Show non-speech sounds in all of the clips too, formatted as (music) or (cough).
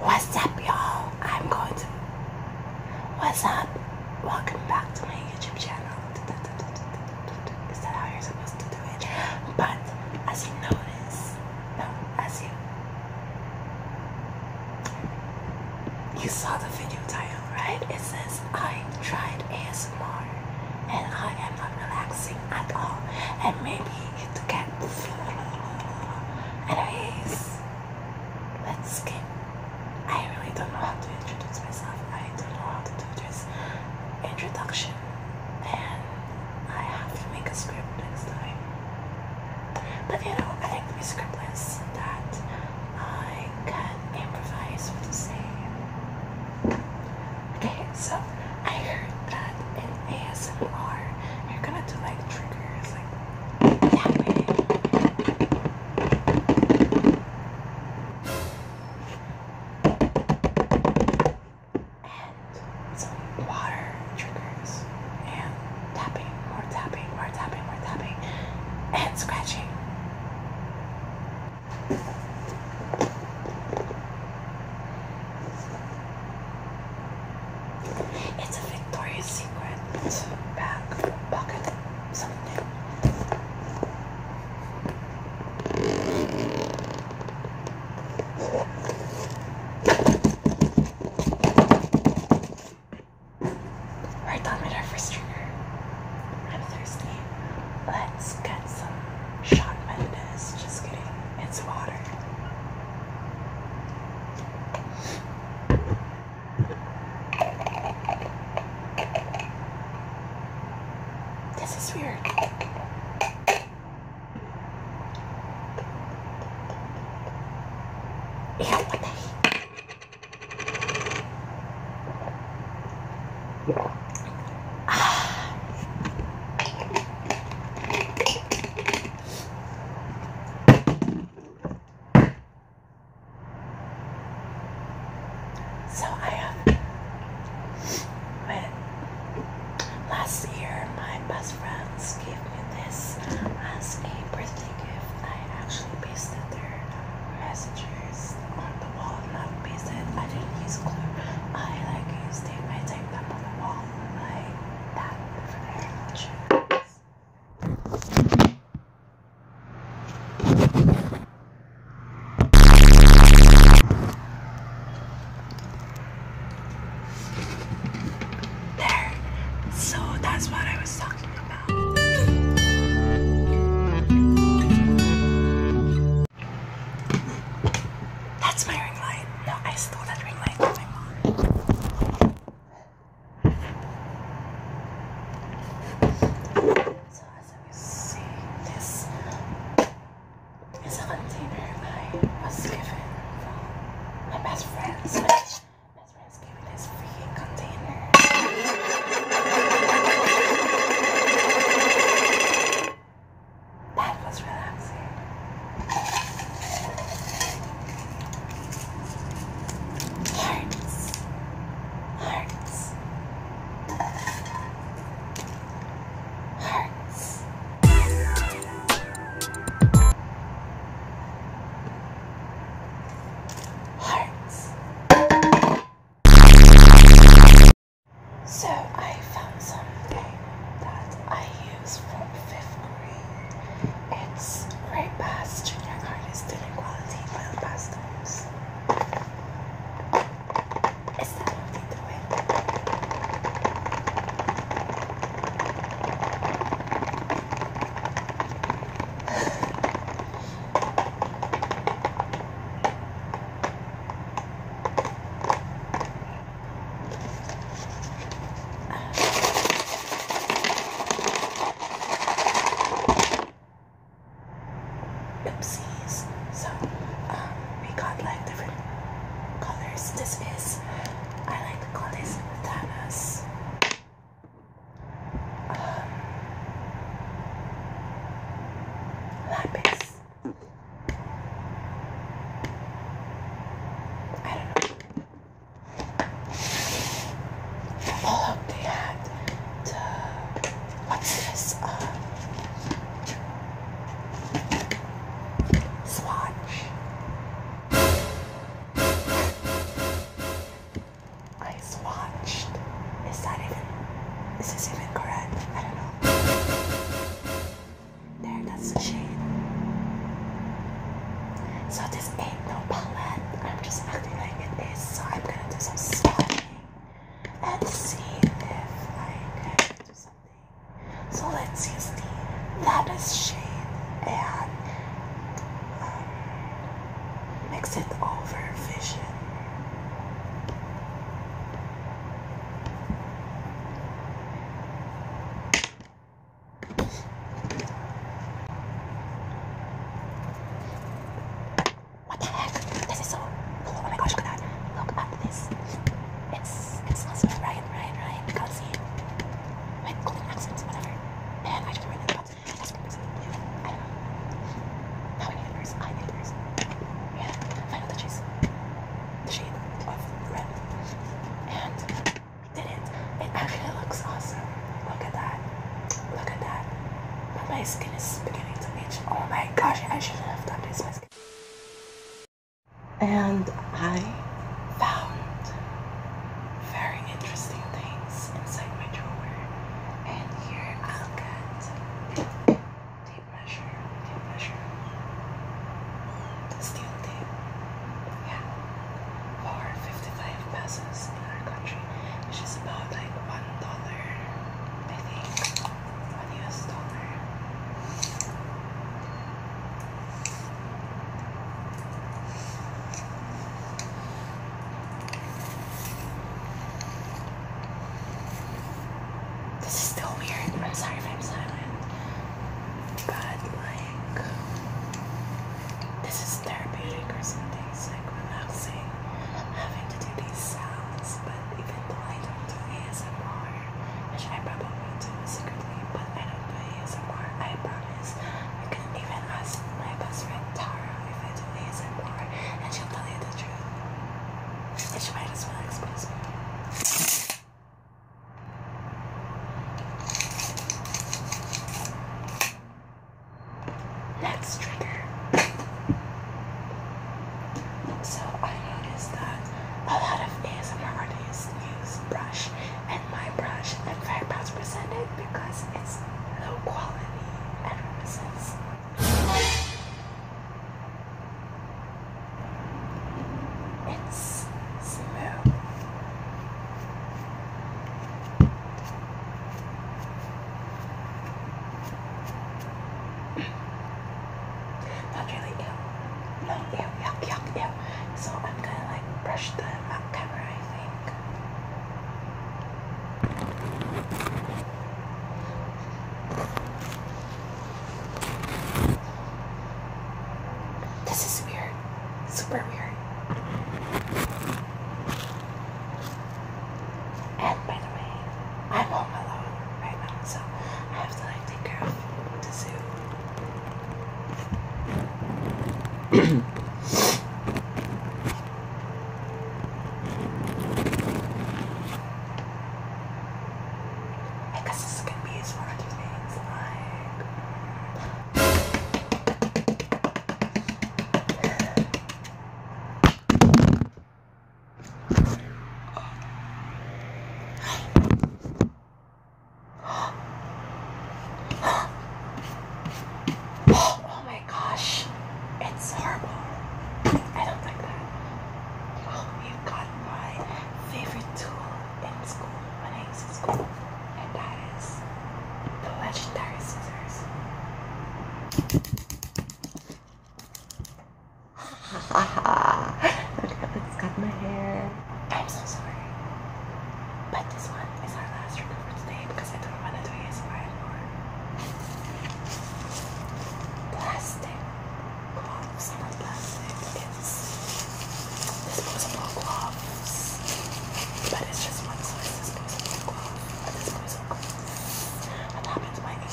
What's up, y'all? I'm going to. What's up? Welcome back to my YouTube channel. Is that how you're supposed to do it? But as you notice, no, as you you saw the video title right? It says, I tried ASMR and I am not relaxing at all. And maybe it gets. Anyways, let's skip. I really don't know how to introduce myself. I don't know how to do this introduction. And I have to make a script next time. But you know, I think my script is that I can improvise with the same. Okay, so I heard that in ASMR, you're gonna do like triggers, like tapping. And some water triggers and tapping, more tapping, more tapping, more tapping itching and scratching. It's a Victoria's Secret bag, pocket, something. We're done with our first trigger. I'm thirsty. Let's get some shot. Sean best. Just kidding. It's water. This is weird. Yeah, what the (sighs) So I um, have, last year my best friends gave me this as a birthday gift. I actually pasted their messages on the wall, not pasted. I didn't use glue. I like used tape. I taped them on the wall like that for their lunches. There. So that's what I was talking about. That's my ring light. No, I stole that ring light from my So as you see, this is container was given my best friends. best friends gave me this freaking That was relaxing. Hearts. Hearts. Hearts. So I found something that I use from fifth grade. It's Great Past Junior card Artist Student Quality Oil Pastels. It's to it. Oopsies. So, um, we got like different colors. This is, I like to call this Thanos. Um, lapis. I don't know. Oh, look, they had what's this? Uh, Swatch. I swatched. Is that even, is this even correct? I don't know. There, that's the shade. So this ain't no palette. I'm just acting like it is. So I'm gonna do some swatching and see if I can do some so let's use the lattice shade and um, mix it over vision. What the heck? This is so cool. Oh my gosh, look at that. Look at this. It's it's not smooth, right? Right, right. You can't see it. With golden accents, whatever. Man, I don't know where that comes. That's blue. I don't know. Now I need a nurse. I need a nurse. Yeah, final touches. The shade of red. And we did it. It actually looks awesome. Look at that. Look at that. But my skin Oh my gosh, I should have done this. And I found very interesting things inside my drawer. And here I'll get tape measure, tape measure, mm, steel tape. Yeah, for 55 pesos in our country, which is about like one dollar. I This is still weird. sorry if I'm But, like, this is therapeutic or something it's like relaxing having to do these sounds, but even though I don't do ASMR, which I probably do secretly, but I don't do ASMR, I promise. You can even ask my best friend Tara if I do ASMR, and she'll tell you the truth. And she might as well expose me. Next trigger. So I noticed that a lot of ASMR artists use brush, and my brush in fact was presented because it's low quality and It's smooth. That's (coughs) really ill. No, ew, yuck, yuck, ew. So I'm gonna like brush the map I think. This is weird. Super weird. And by the way, I'm home alone right now, so I have to like take care of the zoo. (coughs) this is gonna be used for other things Oh my gosh, it's horrible. I don't like that. Oh, you got my favorite tool in school when I was in school and that is the legendary scissors. Ha ha Let's cut my hair. I'm so sorry. But this one is our last review for because I don't want to do ASMR anymore. Plastic gloves, not plastic disposable gloves. But it's just one size disposable glove. A disposable glove. What happened to my English?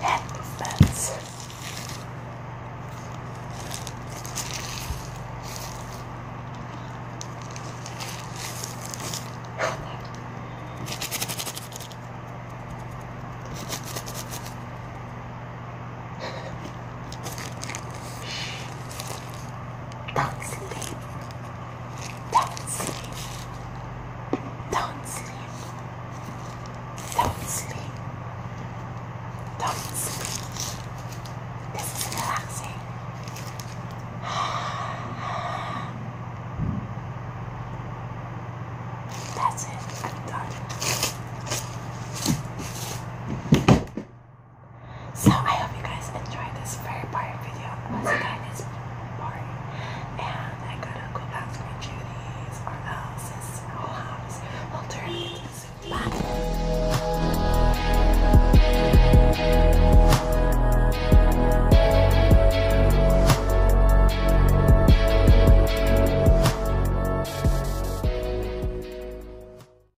That fence. Don't sleep. Don't sleep. Don't sleep. Don't sleep. Don't sleep. This is relaxing. That's it. I'm done. So I hope you guys enjoyed this very boring video. it's boring. And I gotta go back to my duties or house will turn